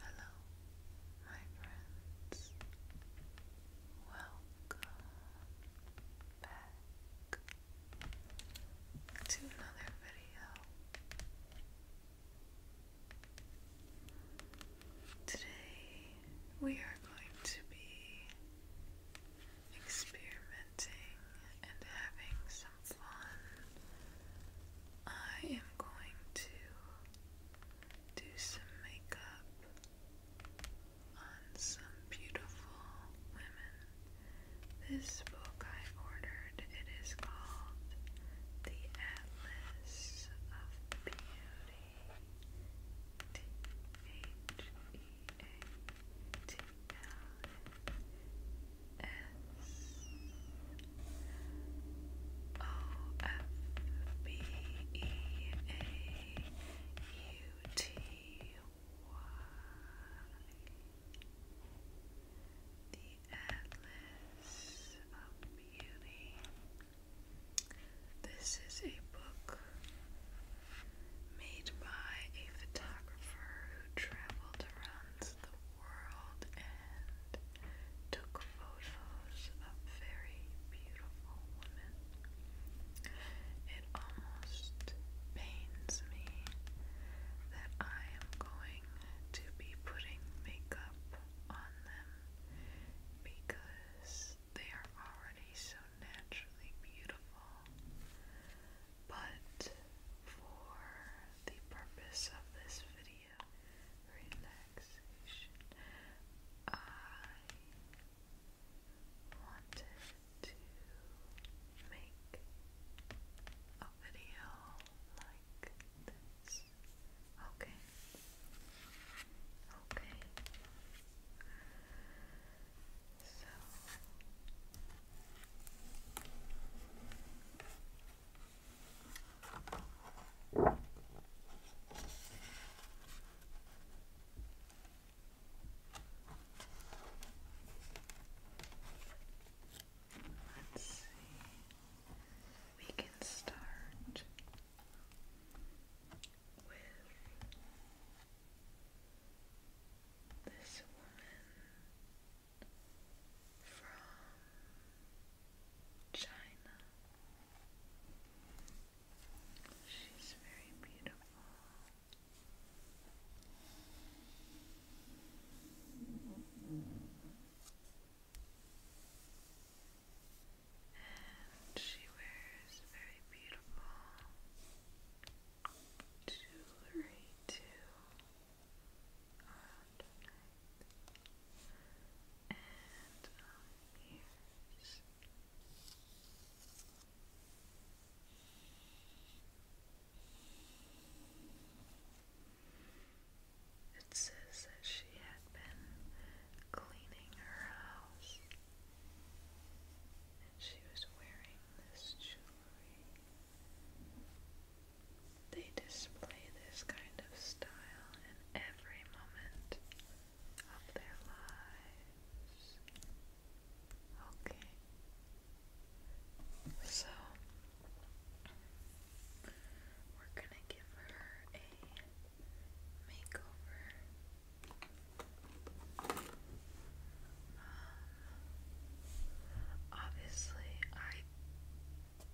Hello, my friends. Welcome back to another video. Today we are going to be experimenting and having some fun. I am going to do some makeup on some beautiful women. This book I ordered, it is called The Atlas of Beauty. T H E A T L S O F B E A U T Y. The Atlas of Beauty. This is a book made by a photographer who traveled around the world and took photos of very beautiful women. It almost pains me that I am going to be putting makeup on them because they are already so naturally beautiful. But for the purpose of this video, relaxation. I wanted to make a video like this. Okay. Okay. So Let's see. We can start with this woman from China. She's very beautiful. And she wears very beautiful jewelry too. It says she had been cleaning her house and she was wearing this jewelry. They display this kind of style in every moment of their lives. Okay. So, we're gonna give her a makeover. Um, obviously, I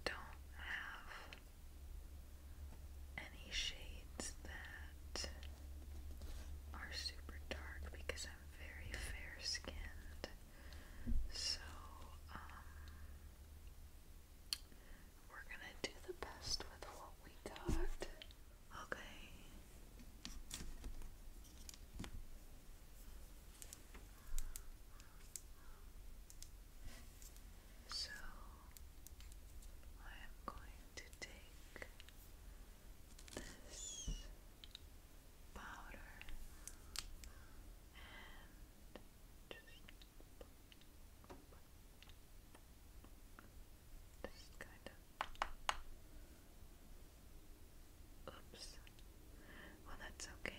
don't have any shades that are super dark because I'm very fair skinned. So, um, we're gonna do the best with what we got. Okay. So I am going to take this powder and just, just kind of oops well that's okay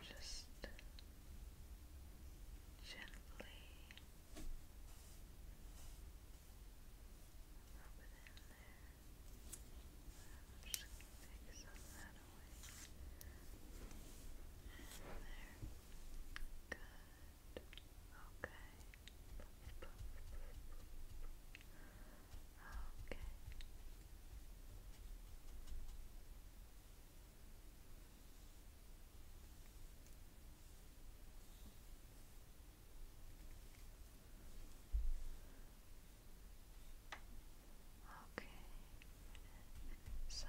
just gently rub in there. just take some of that away. And there. Good. Okay. Okay. Okay, some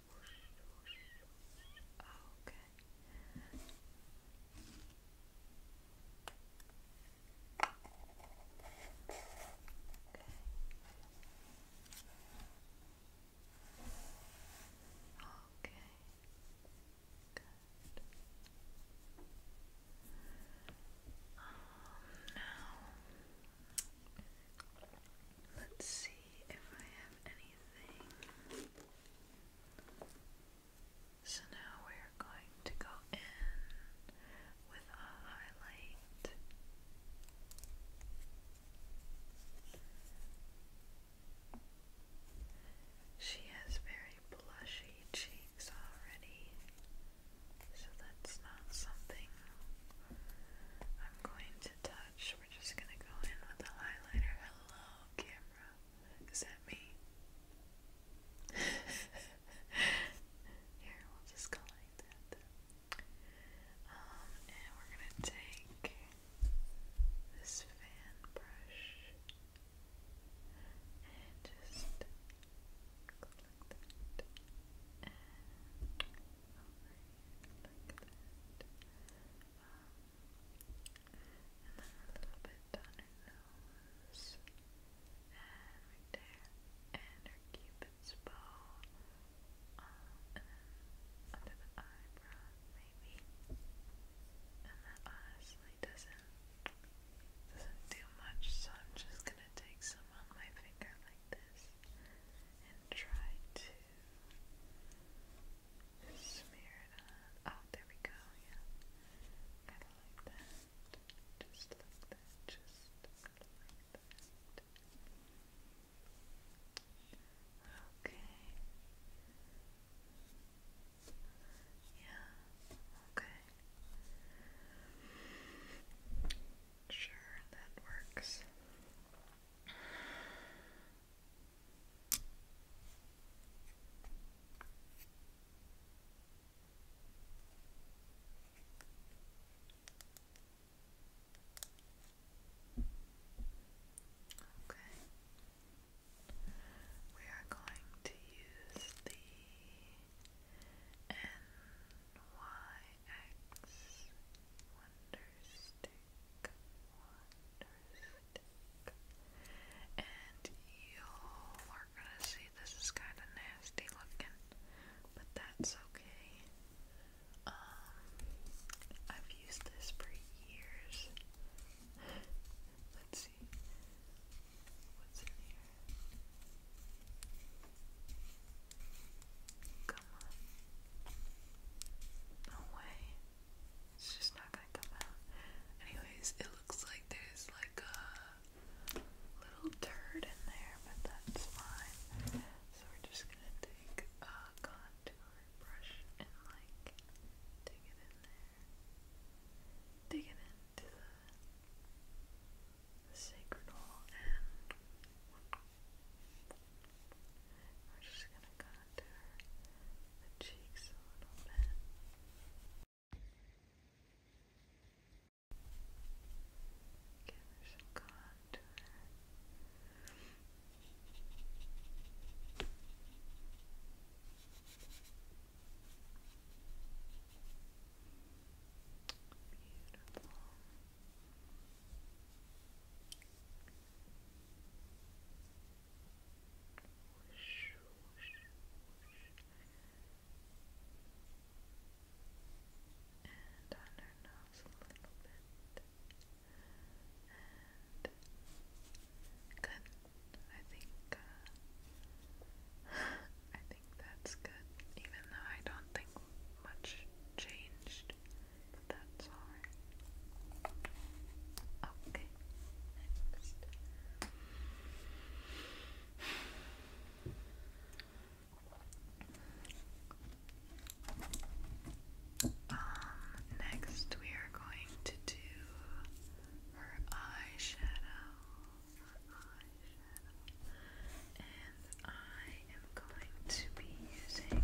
Okay. Okay. Okay. Good. Um, now Let's see if I have anything. So now we're going to go in with a highlight. She has very blushy cheeks already, so that's not something I'm going to touch much. We're just gonna go in with a highlighter. Hello, camera. Is that me? Here, we'll just go like that. Um, and we're gonna take this fan brush and just like that. and then a little bit on her nose. And there. And her cupid's bow. and then under the eyebrow, maybe. And that honestly doesn't doesn't do much, so I'm just gonna take some on my finger like this and try to smear it on. Oh, there we go, yeah. Kind of like that. Just like that. Just like that. Okay. Yeah, okay. Sure, that works. Okay. We are going to use the NYX Wonder stick, stick. And you are gonna see this is kind of nasty looking, but that's okay. Um, I've used this for years. Let's see what's in here. Come on. No way. It's just not gonna come out. Anyways, it looks like there's like a little dirt in there, but that's fine. So we're just gonna take a contour brush and like dig it in there. Dig it into the, sacred hole we're just gonna contour the cheeks a little bit. Give her some contour. Beautiful. Whoosh, whoosh, good. I think uh, I think that's good, even though I don't think much changed that's alright. Okay, next. Um, next we are going to do Her eyeshadow. And I am going to be using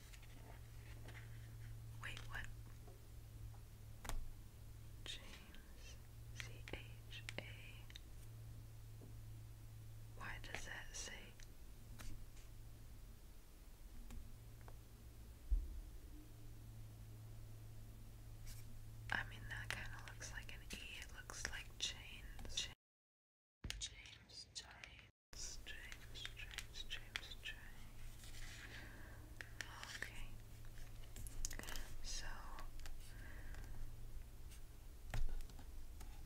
Wait, what? C H A. Why does that say? I mean, that kind of looks like an E. It looks like chains. Okay. So,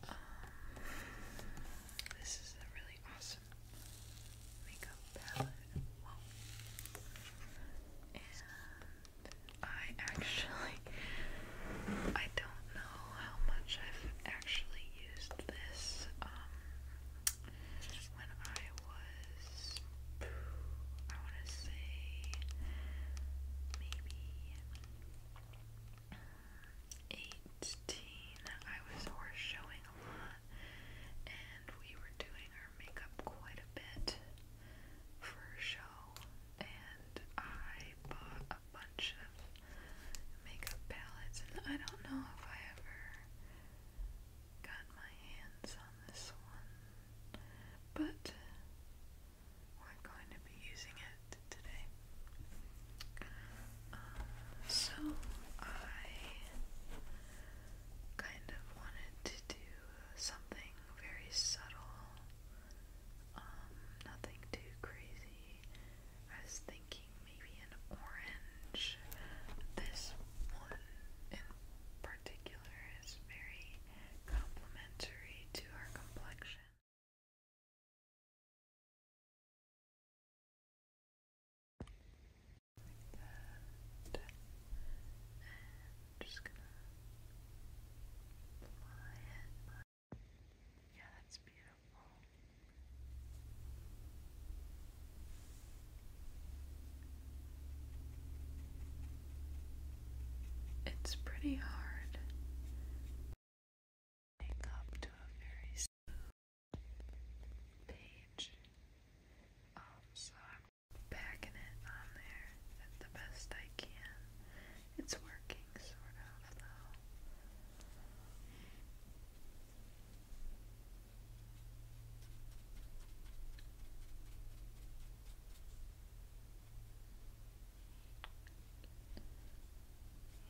um, this is a really awesome makeup palette. Whoa. And I actually, I don't know know how much I've actually used this um when I was I wanna say maybe eighteen I was horse showing a lot and we were doing our makeup quite a bit for a show and I bought a bunch of makeup palettes, and I don't know if I ever got my hands on this one, but we're going to be using it today. Uh, so I kind of wanted to do something very subtle, um, nothing too crazy, I was thinking maybe an orange. This one in particular is very complementary to our complexion. And just gonna apply it. It's pretty hard up to a very smooth page. Um, so I'm backing it on there at the best I can. It's working, sort of off though.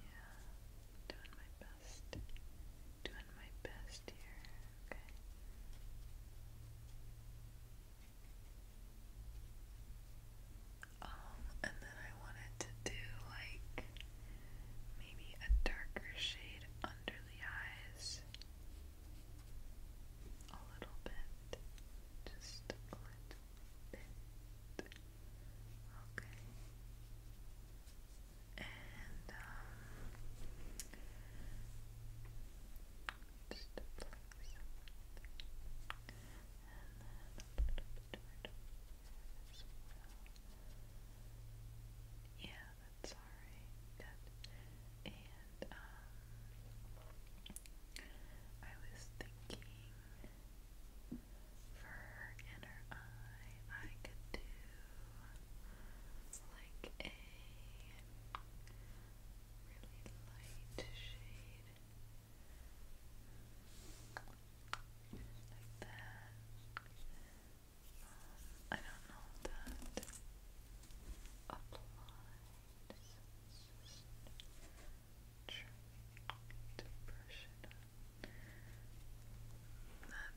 Yeah, doing my best. Doing my best here, okay? Um, and then I wanted to do like maybe a darker shade under the eyes. A little bit. Just a little bit. Okay. And um a little um, Yeah, that's alright. And, um, I was thinking for inner eye, um, I could do like a really light shade. I don't know that applies. to brush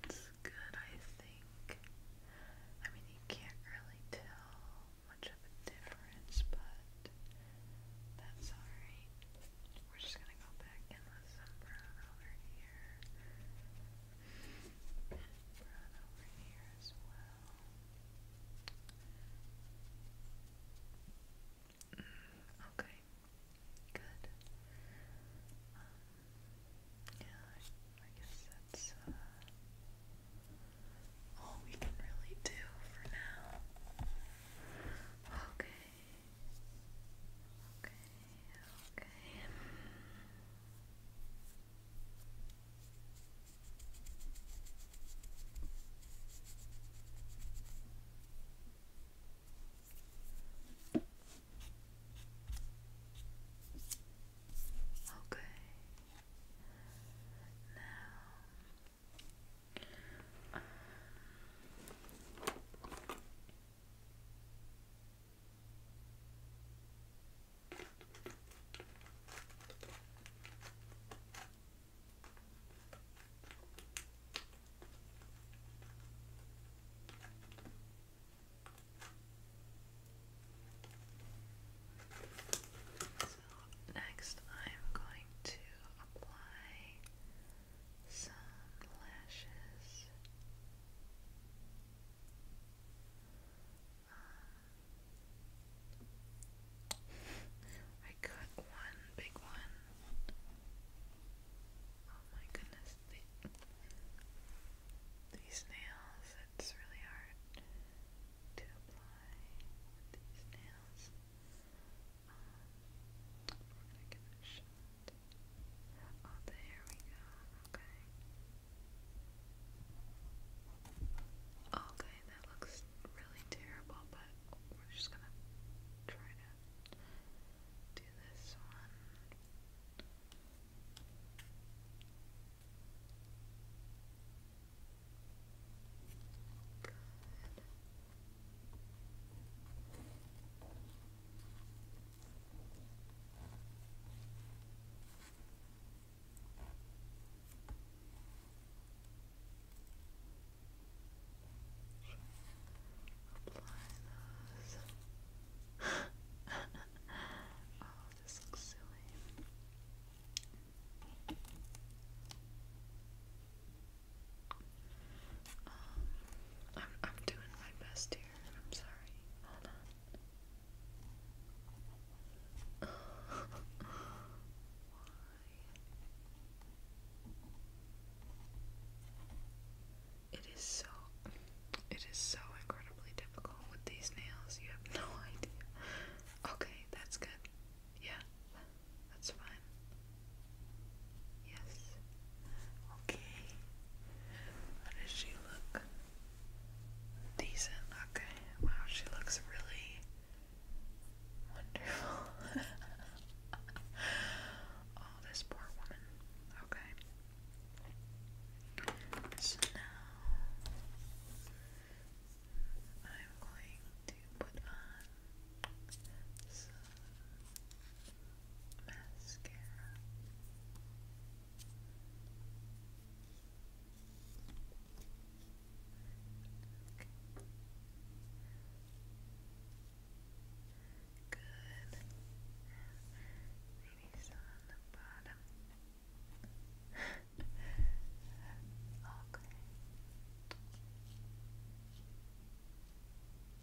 That's good, I think. I mean, you can't really tell much of a difference, but that's alright. We're just gonna go back and with some over here. Brown over here as well. okay. Good. Um, yeah, I, guess that's uh, all we can really do for now. Okay okay. Okay. Now um, so next I'm going to apply some lashes. Uh, I got one big one. Oh my goodness, these nails, it's really hard to apply these nails. Um, we Okay, that looks really terrible, but we're just gonna try to do this one. Good. Apply those. oh, this looks silly. Um, I'm, I'm doing my best here. I'm sorry. Hold on. It is so, it is so incredibly difficult with these nails. You have no idea. Okay, that's good. Yeah, that's fine. Yes. Okay. How does she look? Decent. Okay. Wow, she looks really wonderful. oh, this poor woman. Okay. So now I'm going to put on some mascara. Good. Maybe on the bottom. okay. Good.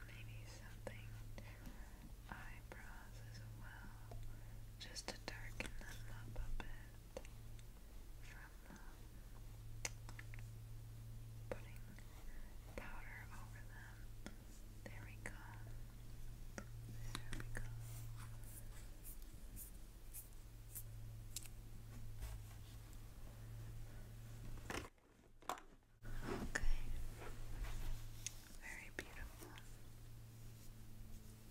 And maybe something eyebrows as well, just to darken them up a bit from um, putting powder over them. There we go. There we go. Okay. Very beautiful. Okay.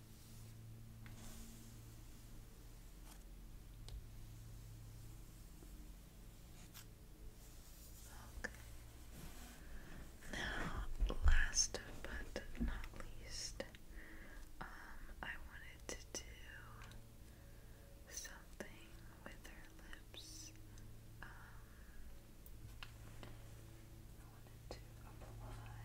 Now, last but not least, um, I wanted to do something with her lips. Um, I wanted to apply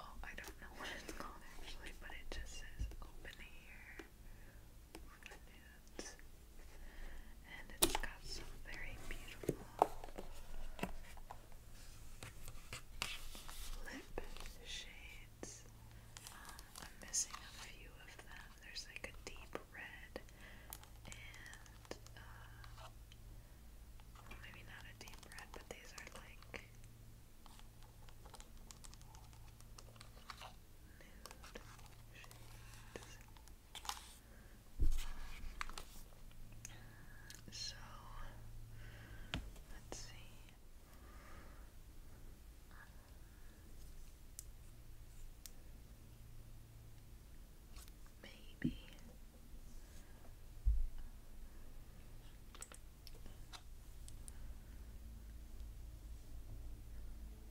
Oh, I don't know what it's called actually, but it just says open air for nudes. And it's got some very beautiful lip shades. Uh, I'm missing a few of them. There's like a deep red and uh, maybe not a deep red, but these are like shades. So let's see. Maybe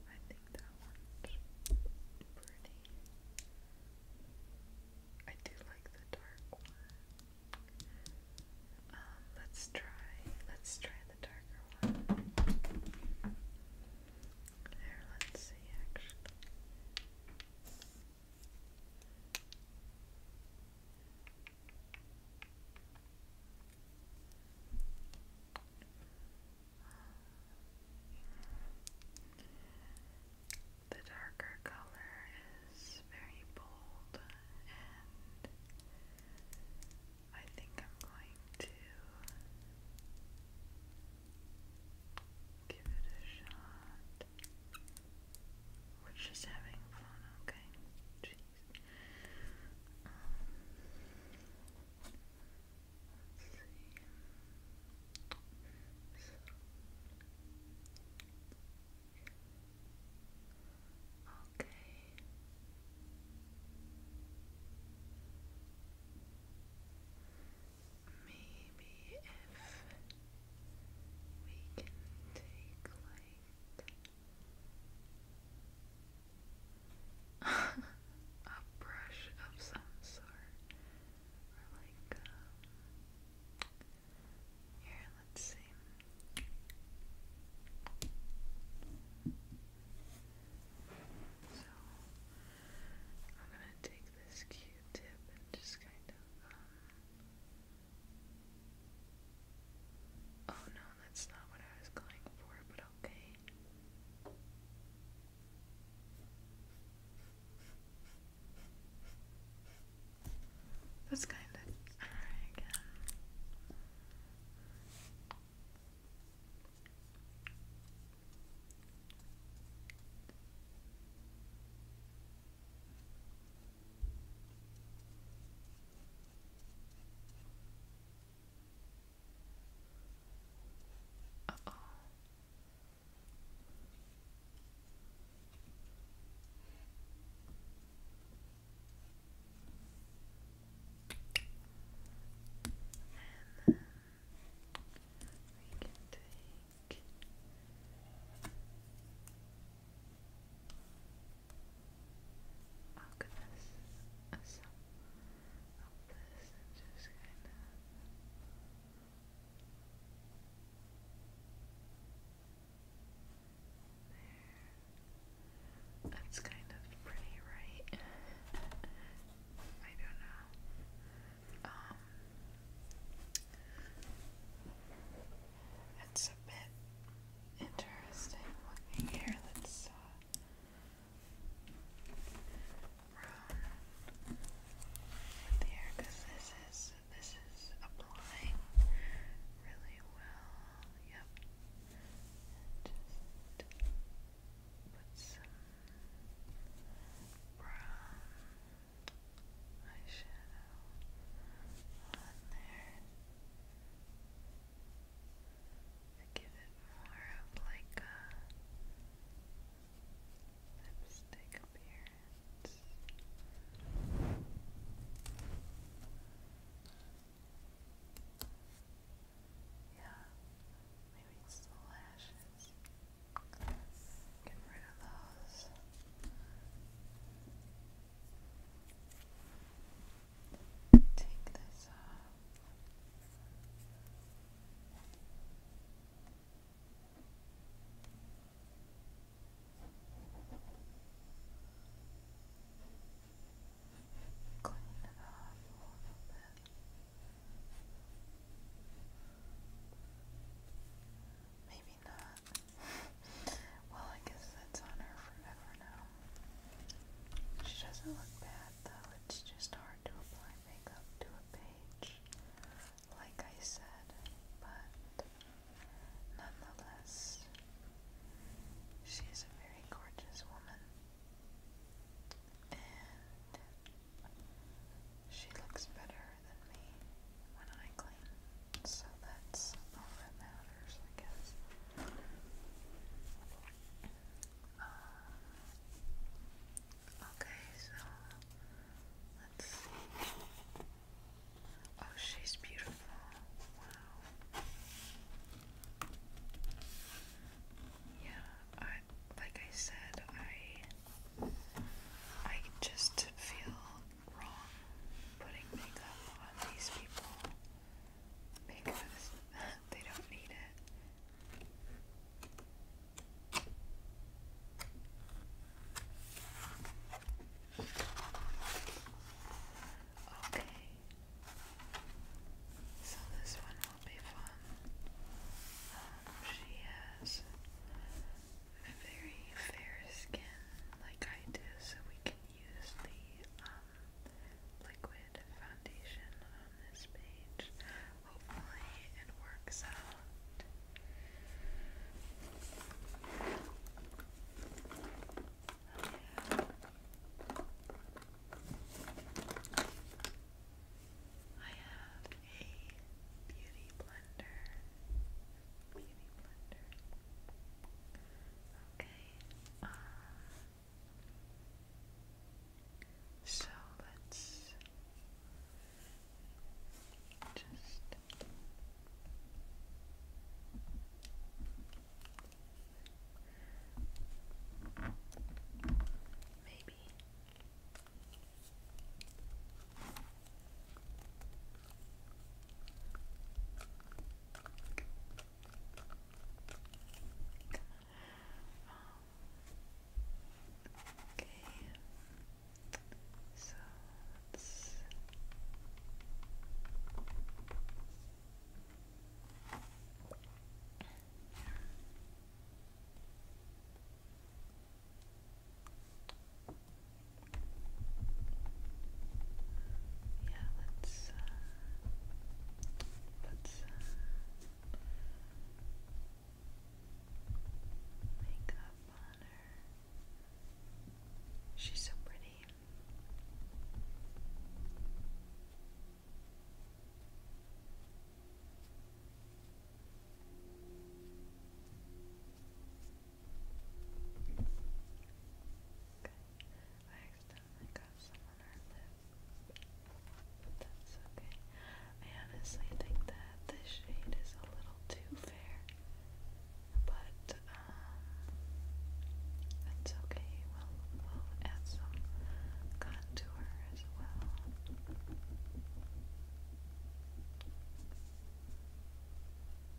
I think that one's pretty. I do like the dark one. Um, let's try, let's try the darker one. There, let's see actually. The darker color is very bold, and I think I'm going to give it a shot. We're just having fun, okay? Jeez. Okay. Maybe if we can take like a brush of some sort, or like um, here. Let's see. So I'm gonna take this Q-tip and just kind of um, Oh no, that's not what I was going for, but okay. That's kind of uh oh. And then we can take alchemist or this and just kind of That's kind of pretty, right? I don't know. Um, it's a bit interesting here. Let's uh, here because this is this is applying really well. Yep. put some brown eyeshadow on there give it more of like a lipstick appearance. Yeah, maybe the lashes. Get rid of those. Take this off. Clean it a little bit. Maybe maybe well, I guess that's on her forever now. She doesn't look bad though, it's just hard to apply makeup to a page, like I said, but nonetheless, she a very gorgeous woman. And she looks better than me when I clean. So that's all that matters, I guess. Uh, okay, so let's see. Oh, she's beautiful. Wow. Yeah, I like I said, I I just feel wrong putting makeup on these people because they don't need it. Okay. So this one will be fun. Um, she has very fair skin, like I do, so we can use the um, liquid foundation on this page. Hopefully, it works out. I have a beauty blender beauty blender. Okay. Um, so let's just maybe um, okay. So let's Okay. Yeah, let's let's uh, make up on her. She's so pretty. I accidentally got some on our lip. But that's okay. I honestly think that this shade is a little too fair. But um okay. We'll add some contour as well.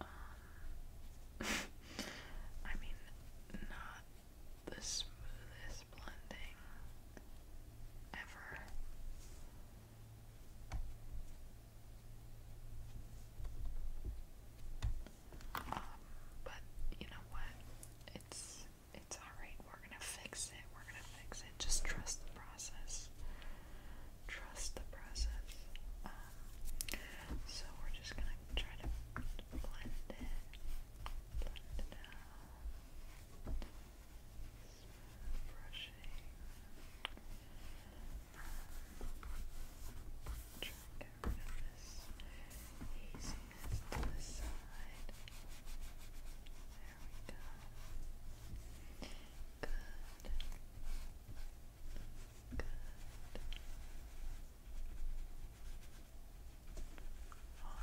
Um, I mean, not the smoothest blending ever. Um, but you know what? It's it's all right. We're gonna fix it. We're gonna fix it. Just trust the process trust the process. Um, so we're just gonna try to blend it, blend it out. brushing. try to get rid of this haziness to the side. There we go. Good. Good.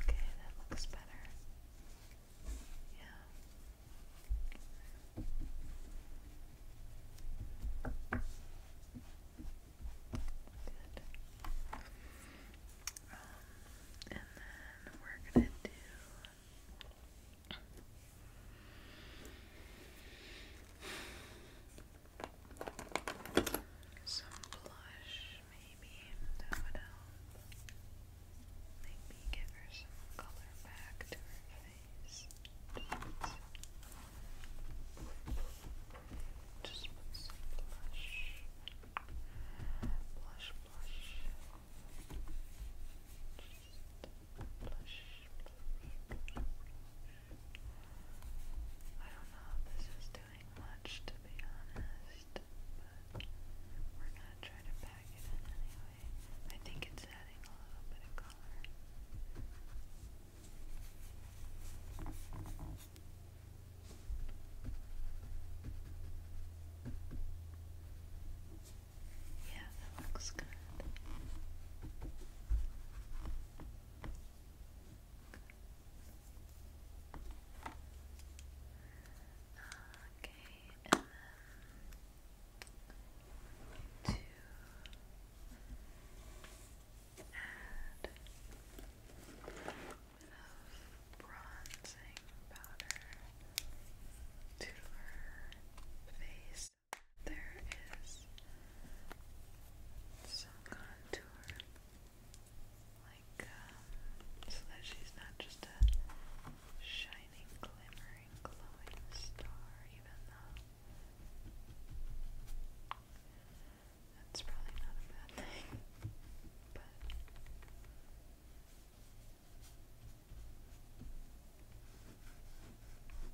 Okay, that looks better. Yeah. Good. Um, and then we're gonna do. Some blush, maybe that Maybe give her some color back to her face. Just put some blush. Blush, blush blush, blush, I don't know if this is doing much to be honest, but we're gonna try to pack it in anyway. I think it's adding a little bit of color. Yeah, that looks good. Okay, and then to add a bronzing powder to her face there is some contour, like um, so that she's not just a shining, glimmering, glowing star, even though. That's probably not a bad thing, good. Good.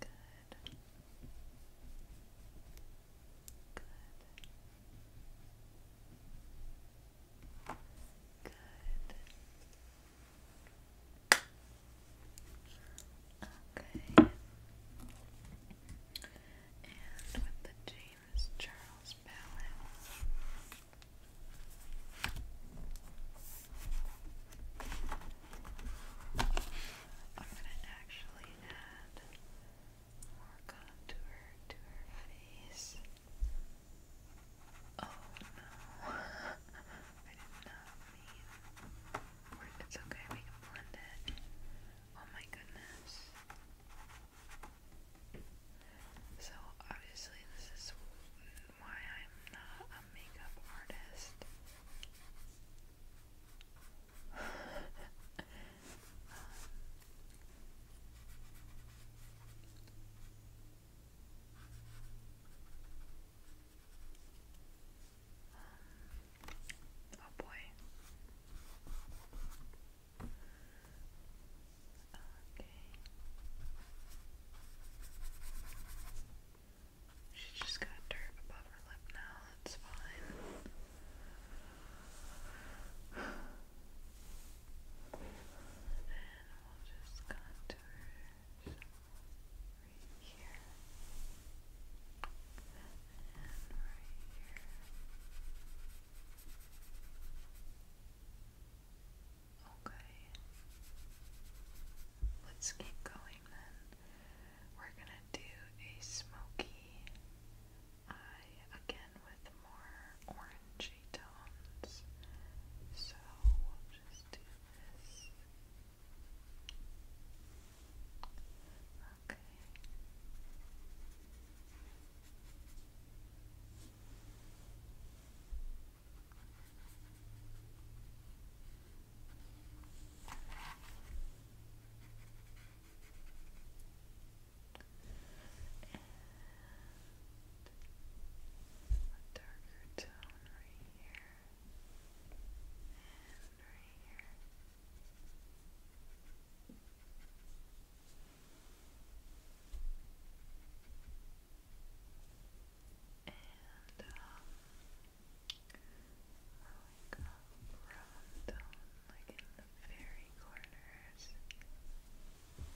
Good. Okay. And with the James Charles palette, I'm gonna actually add more contour to her face. Oh no, I did not mean. It's okay, we can blend it. Oh my goodness. So obviously this is why I'm not a makeup artist. Um, oh boy. She's just got dirt above her lip now, that's fine. then we'll just contour right here. And right here. Okay. Let's keep going then. We're gonna do a smoky eye again with more orangey tones. So we'll just do this. Okay a darker tone right here and right here and um, like in the very corners. And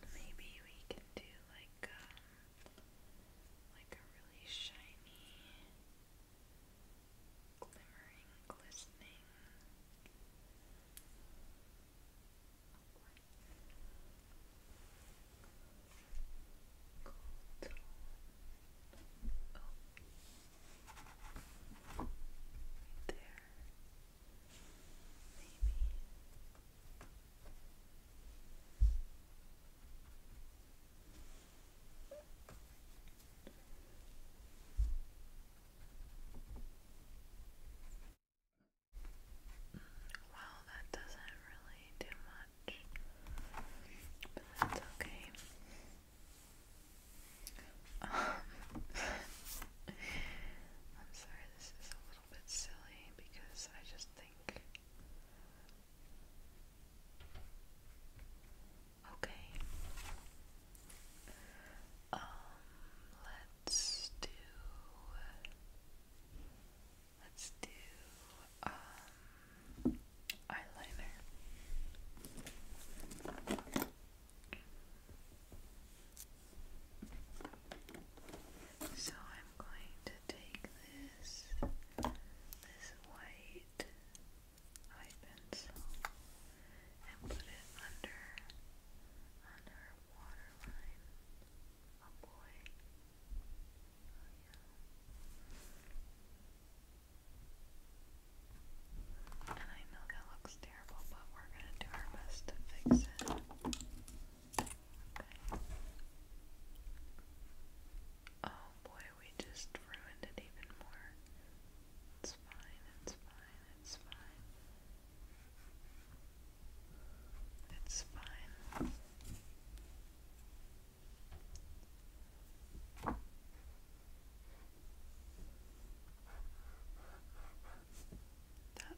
then maybe we can do like um, like a really shiny, glimmering, glistening. Gold. Oh. Right there. Maybe. Well, that doesn't really do much, but that's okay. Um, I'm sorry, this is a little bit silly because I just think think. Okay. Um, let's do. Let's do um eyeliner. So I'm going to take this this white pencil and put it under on waterline. Oh, and I know that looks terrible, but we're gonna do our best to fix it. Okay. Oh boy, we just ruined it even more. It's fine, it's fine, it's fine. It's fine.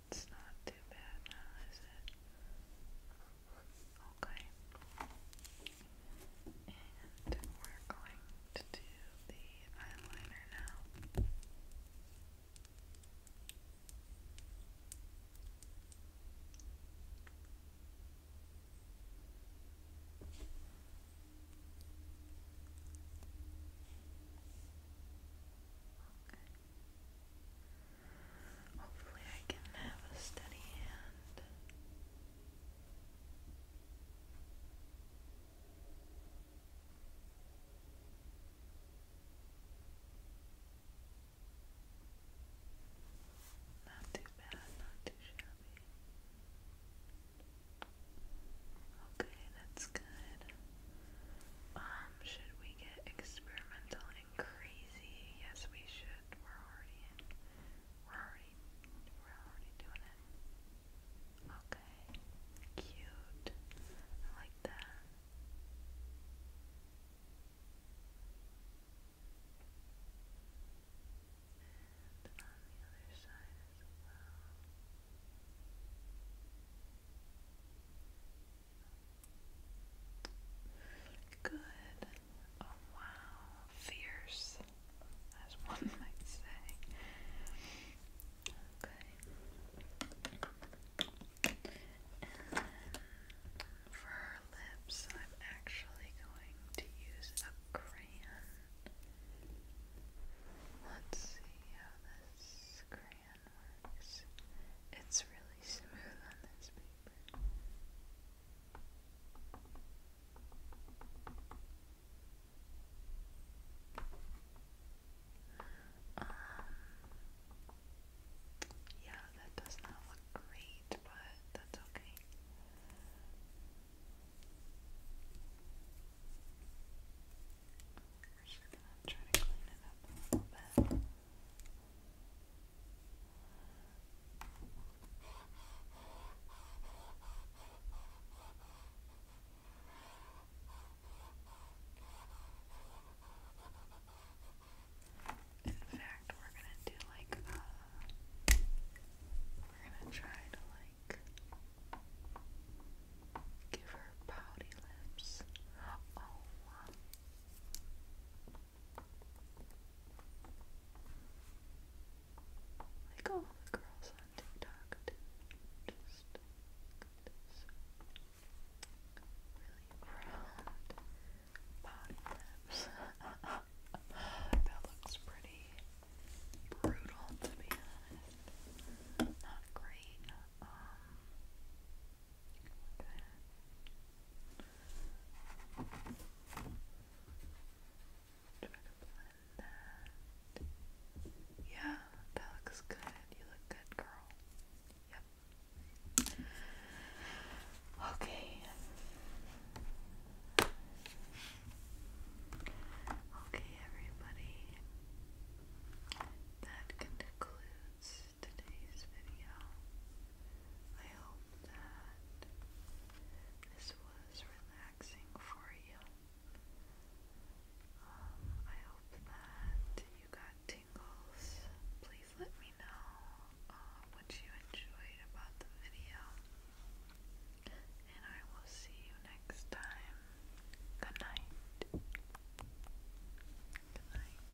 That's not too bad now, is it? Okay. And we're going to do the eyeliner now. Okay. Hopefully, I can have a steady hand. Not too bad, not too shabby. Okay, that's good. Um, should we get experimental crazy. Yes, we should. We're already We're already. We're already doing it. Okay. Cute. I like that. And on the other side as well. Good. Oh wow. Fierce, as one might say. Okay. And for her lips, I'm actually going to use a crayon. Let's see how this crayon it's really smooth on this paper. Um, yeah, that does not look great, but that's okay. We're just gonna try to clean it up a little bit. In fact, we're gonna do like uh, we're gonna try to like give her pouty lips. Oh, like all the girls on TikTok do. Just really round bottom that looks pretty brutal to be honest. Not great. Um, Try to blend that. Yeah, that looks good. You look good, girl. Yep. Okay. Okay, everybody. That concludes today's video. I hope that this was relaxing for you. Um, I hope that you got tingles. Please let me know uh, what you enjoyed about the video. And I will see you next time. Good night. Good night.